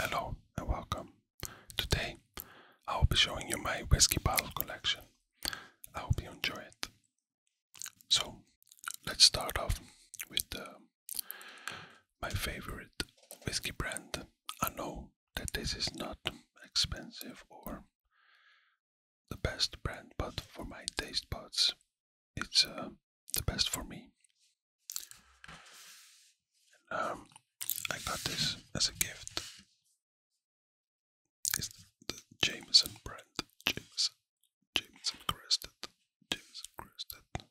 Hello and welcome. Today I will be showing you my whiskey bottle collection. I hope you enjoy it. So let's start off with uh, my favorite whiskey brand. I know that this is not expensive or the best brand, but for my taste buds, it's uh, the best for me. Um, I got this as a gift. It's the Jameson brand, Jameson, Jameson Crested, Jameson Crested,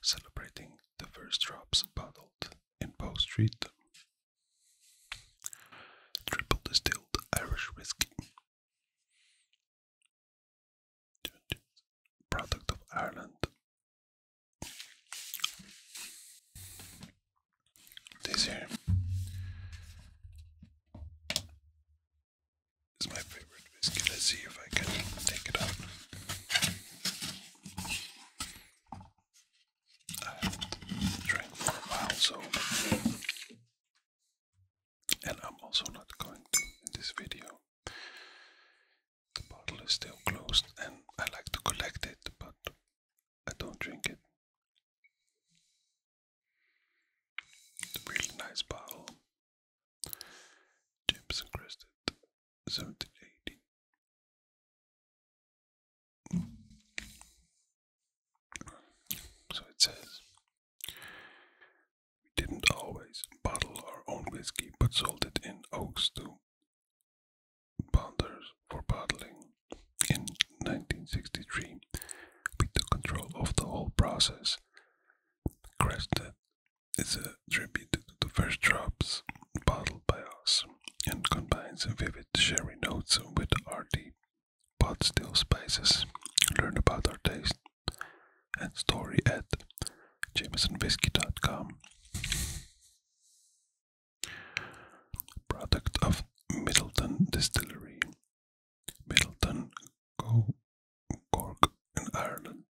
celebrating the first drops bottled in Bow Street. Triple distilled Irish whiskey Product of Ireland. This here is my favorite whiskey. Let's see if I can take it out. I drank for a while, so and I'm also not going to in this video. The bottle is still closed and I like to collect it, but I don't drink it. It's a really nice bottle. Jameson Crested 1780. So it says, We didn't always bottle our own whiskey, but sold it in oak to bonders for bottling. In 1963, we took control of the whole process. Crested is a tribute to the first drops bottled by us and combines vivid sherry notes with hearty but still spices Learn about our taste and story at jamesonwhiskey.com. Product of Middleton Distillery, Middleton, Cork Ireland.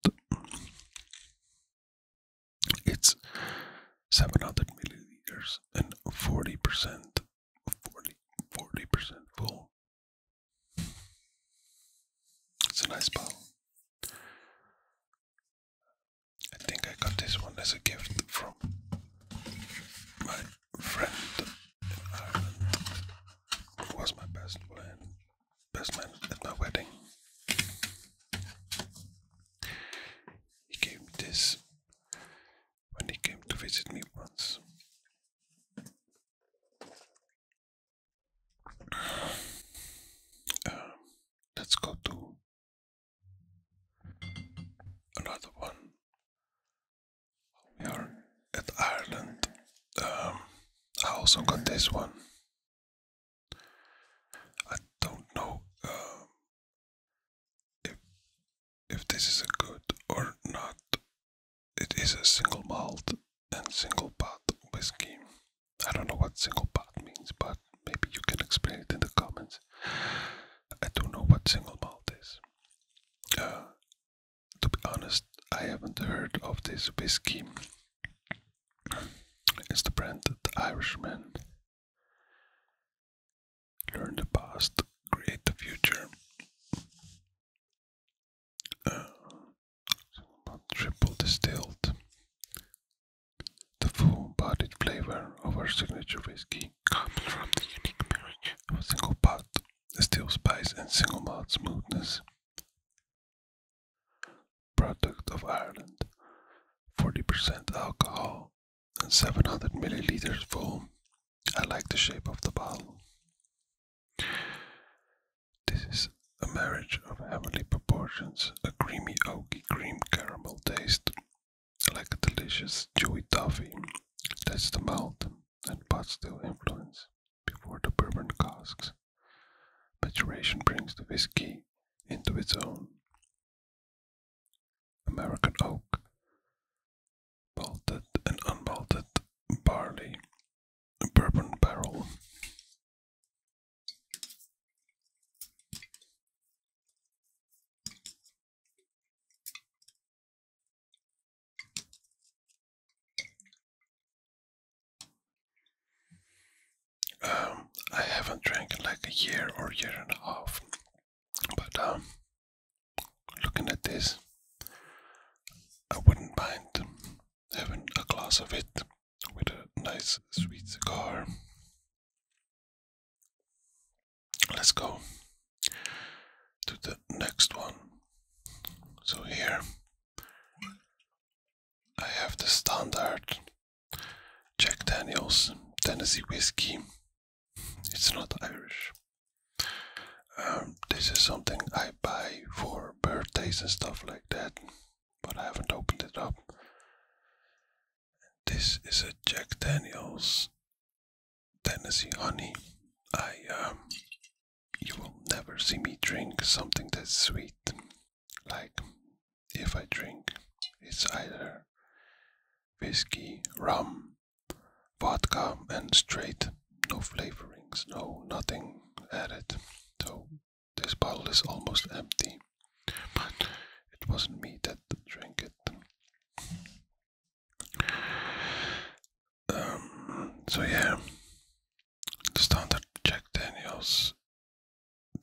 It's 700 milliliters and 40% 40, percent full. It's a nice bottle. I think I got this one as a gift from my friend was my best friend, best man at my wedding. He gave me this when he came to visit me once. Um, let's go to another one. We are at Ireland. Um, I also got this one. I don't know um, if this is a good or not. It is a single malt and single pot whiskey. I don't know what single pot means, but maybe you can explain it in the comments. I don't know what single malt is. Uh, to be honest, I haven't heard of this whiskey. It's the brand of the Irishman. Learn the past, create the future. Uh, triple distilled. The full bodied flavor of our signature whiskey comes from the unique marriage of single pot, the spice, and single malt smoothness. Product of Ireland 40% alcohol, and 700 milliliters foam. I like the shape of the bottle. This is a marriage of heavenly proportions, a creamy oaky cream caramel taste, like a delicious chewy toffee. That's the mouth and pot still influence before the bourbon casks. Maturation brings the whiskey into its own American oak, bolted and unbolted barley, bourbon barrel. Um, I haven't drank like a year or year and a half, but um, Looking at this, I wouldn't mind having a glass of it with a nice sweet cigar. Let's go to the next one. So here I have the standard Jack Daniels Tennessee Whiskey it's not Irish. Um, this is something I buy for birthdays and stuff like that, but I haven't opened it up. This is a Jack Daniels Tennessee Honey. I, um, you will never see me drink something that's sweet. Like, if I drink, it's either whiskey, rum, vodka, and straight. No flavorings, no nothing added. So this bottle is almost empty. But it wasn't me that drank it. Um, so yeah, the standard Jack Daniels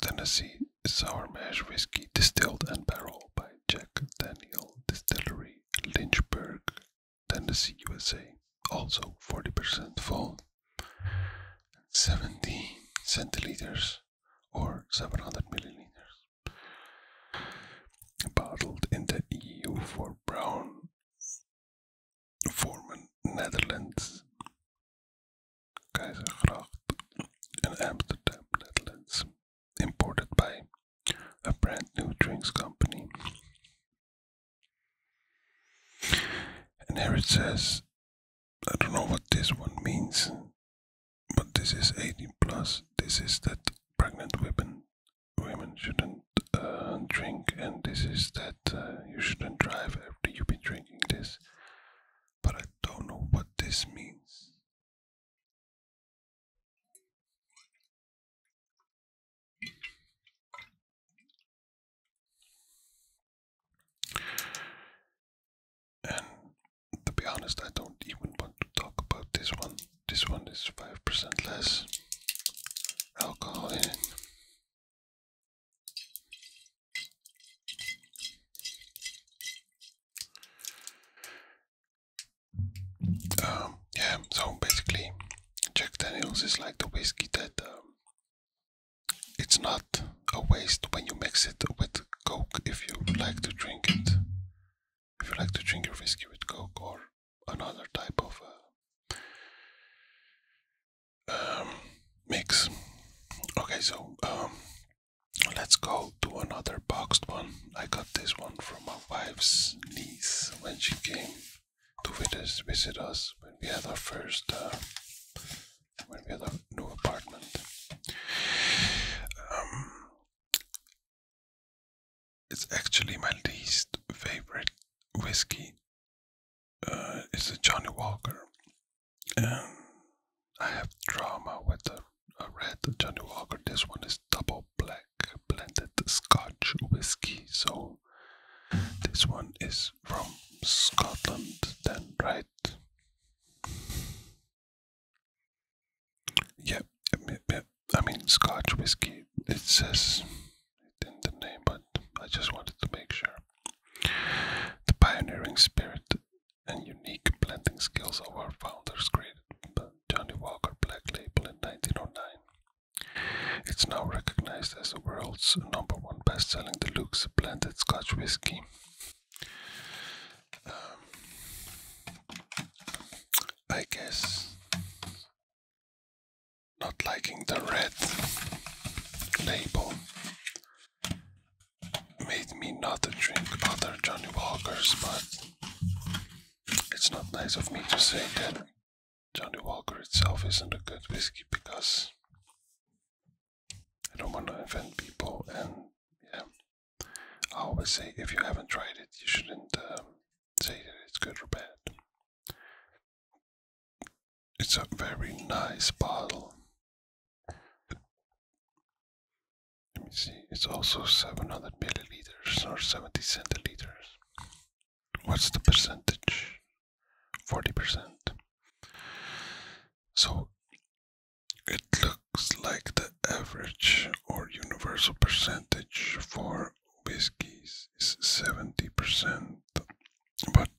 Tennessee Sour Mash Whiskey Distilled and Barrel by Jack Daniel Distillery, Lynchburg, Tennessee, USA. Also 40% full, 70 centiliters or 700 milliliters. Bottled in the EU for Brown, Forman, Netherlands. Keizergracht in Amsterdam, Netherlands, imported by a brand new drinks company. And here it says, I don't know what this one means, but this is 18 plus. This is that pregnant women women shouldn't uh, drink, and this is that uh, you shouldn't drive after you've been drinking this. But I don't know what this means. And to be honest, I don't even want to talk about this one. This one is 5% less alcohol in it. Um, yeah, so basically, Jack Daniels is like the whiskey that um, it's not a waste when you mix it with Coke if you like to drink it. If you like to drink your whiskey with Coke or another type of uh, um, mix. Okay, so Let's go to another boxed one. I got this one from my wife's niece when she came to visit, us when we had our first, uh, when we had a new apartment. Um, it's actually my least favorite whiskey. Uh, it's a Johnny Walker. Um, I have drama with a, red Johnny Walker. This one is double black blended Scotch whiskey. So this one is from Scotland, then right? Yeah, yeah, I mean Scotch whiskey. It says in the name, but I just wanted to make sure. The pioneering spirit and unique blending skills of our founders created Johnny Walker Black Label in 1909. It's now recognized as the world's number one best-selling deluxe blended Scotch whiskey. Um, I guess not liking the red label made me not drink other Johnny Walkers, but it's not nice of me to say that Johnny Walker itself isn't a good whiskey because I don't want to offend people and yeah, I always say if you haven't tried it, you shouldn't um, say that it's good or bad. It's a very nice bottle. Let me see, it's also 700 milliliters or 70 centiliters. What's the percentage? 40%. So it looks like the average or universal percentage for whiskeys is 70%, but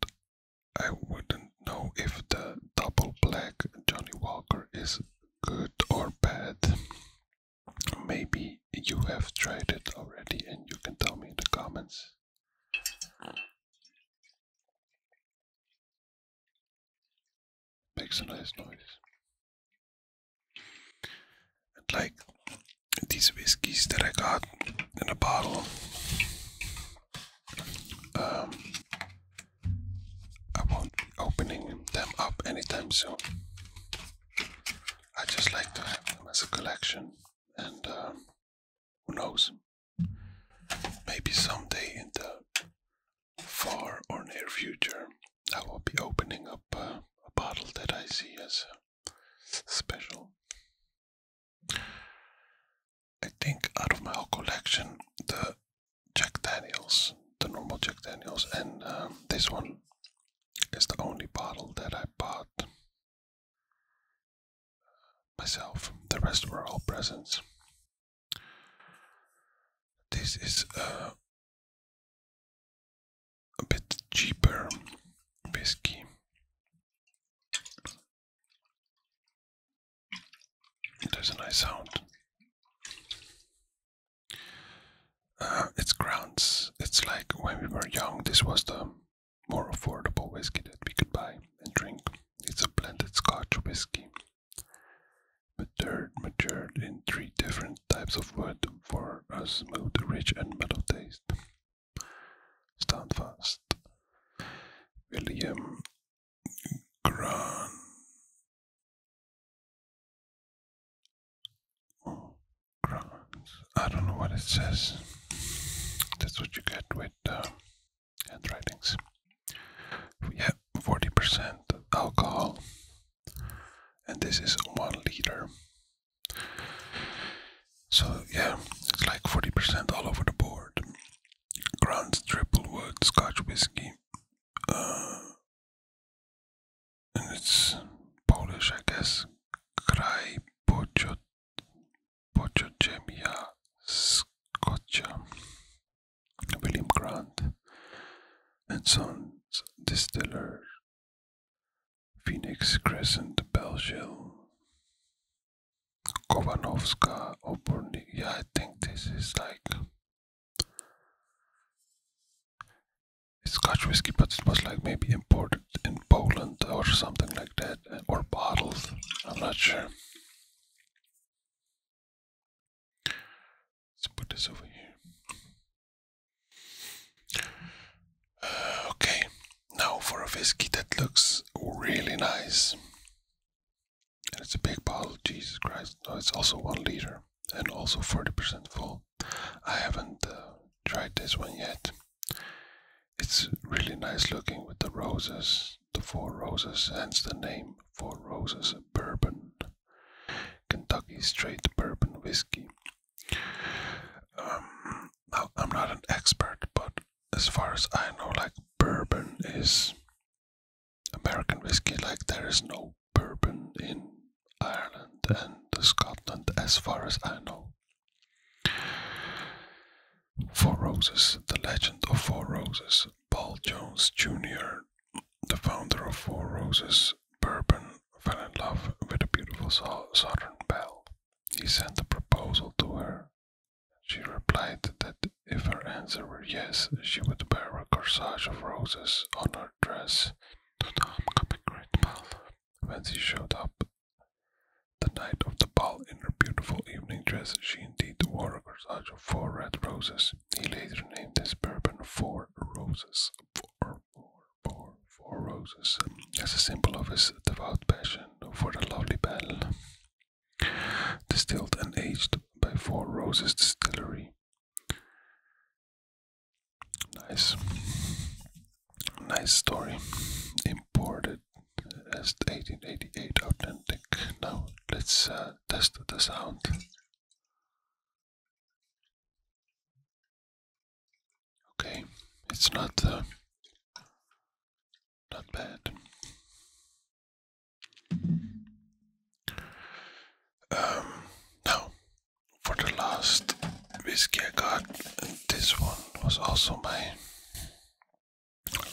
I wouldn't know if the double black Johnny Walker is good or bad. Maybe you have tried it already and you can tell me in the comments. Makes a nice noise. like these whiskies that I got in a bottle, um, I won't be opening them up anytime soon. I just like to have them as a collection, and um, who knows, maybe someday in the far or near future, I will be opening up uh, a bottle that I see as uh, special. I think out of my whole collection, the Jack Daniels, the normal Jack Daniels, and um, this one is the only bottle that I bought myself. The rest were all presents. This is uh, a bit cheaper whiskey. There's a nice sound. Uh, it's grounds. It's like when we were young, this was the more affordable whiskey that we could buy and drink. It's a blended Scotch whiskey, matured, matured in three different types of wood for a smooth, rich, and mellow taste. Stand fast. William Gran. Oh, I don't know what it says. That's what you get with uh, We have 40% alcohol. And this is one liter. So yeah, it's like 40% all over the board. Ground triple wood Scotch whiskey, uh, and it's Polish, I guess. Kraj Poczochemia Scotch William Grant, and Sons Distiller Phoenix Crescent Belgium, Kovanovska Oborny. Yeah, I think this is like it's Scotch whiskey, but it was like maybe imported in Poland or something like that, uh, or bottled. I'm not sure. Let's put this over here. okay, now for a whiskey that looks really nice. it's a big bottle, Jesus Christ. No, it's also one liter and also 40% full. I haven't uh, tried this one yet. It's really nice looking with the roses, the four roses, hence the name Four Roses Bourbon. Kentucky Straight Bourbon Whiskey. Um, I'm not an expert, but as far as I know, like bourbon is American whiskey. Like there is no bourbon in Ireland and Scotland, as far as I know. Four Roses, the legend of Four Roses. Paul Jones Jr., the founder of Four Roses Bourbon, fell in love with a beautiful Southern belle. He sent a proposal to her. She replied that if her answer were yes, she would wear a corsage of roses on her dress to the homecoming great ball when she showed up. The night of the ball, in her beautiful evening dress, she indeed wore a corsage of four red roses. He later named his bourbon Four Roses bore four roses as a symbol of his devout passion for the lovely Belle. Distilled and aged by Four Roses Distillery. Nice. Nice story. Imported as 1888 authentic. Now let's uh, test the sound. Okay, it's not uh, not bad. Um, now for the last whiskey I got, this one was also my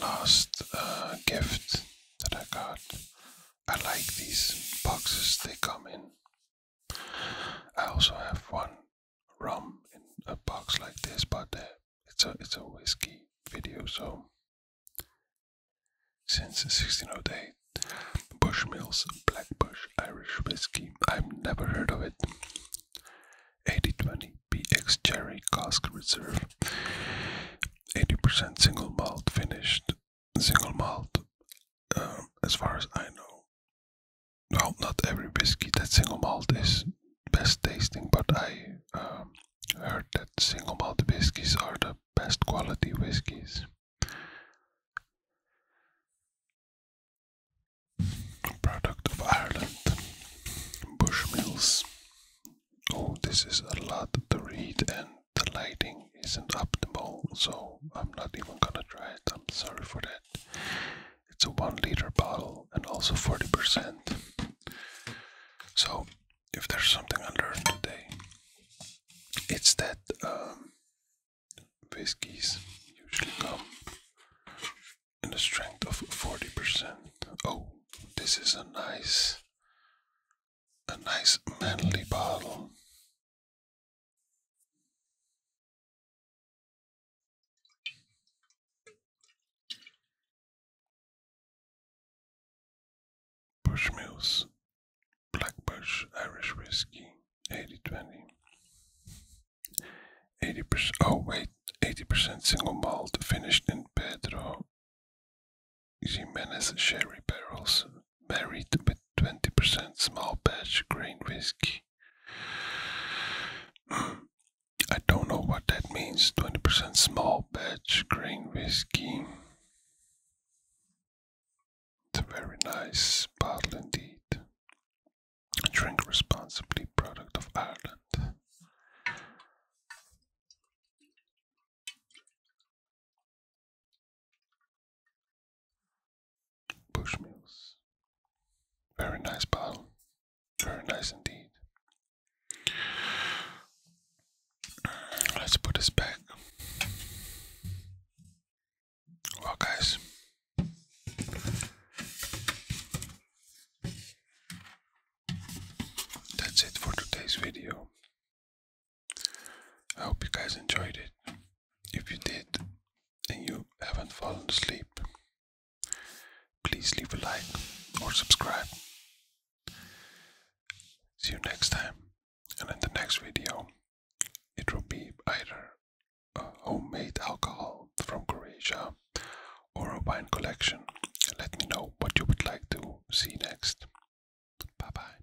last uh, gift that I got. I like these boxes they come in I also have one rum in a box like this, but uh, it's a it's a whiskey video, so since 1608, Bushmills Bush Irish Whiskey. I've never heard of it. 8020 BX Jerry Cask Reserve. 80% single malt finished. Single malt, um, as far as I know, well, not every whiskey that single malt is best tasting, but I um, heard that single malt whiskies are the best quality whiskies. Product of Ireland, Bushmills. Oh, this is a lot to read, and the lighting isn't optimal, so I'm not even gonna try I'm sorry for that. It's a one liter bottle and also 40%. So, if there's something I learned today, it's that um, whiskeys usually come in a strength of 40%. Oh, this is a nice, a nice manly bottle. Bushmills, Black Bush Irish Whiskey, 80-20. 80%, oh wait, 80% single malt, finished in Pedro Jimenez sherry barrels, married with 20% small batch grain whiskey. I don't know what that means 20% small batch grain whiskey. It's a very nice bottle indeed. Drink responsibly, product of Ireland. Bushmills. Very nice bottle. Very nice indeed. Let's put this back. Well, guys. That's it for today's video. I hope you guys enjoyed it. If you did and you haven't fallen asleep, please leave a like or subscribe. See you next time, and in the next video, it will be either homemade alcohol from Croatia or a wine collection. Let me know what you would like to see next. Bye bye.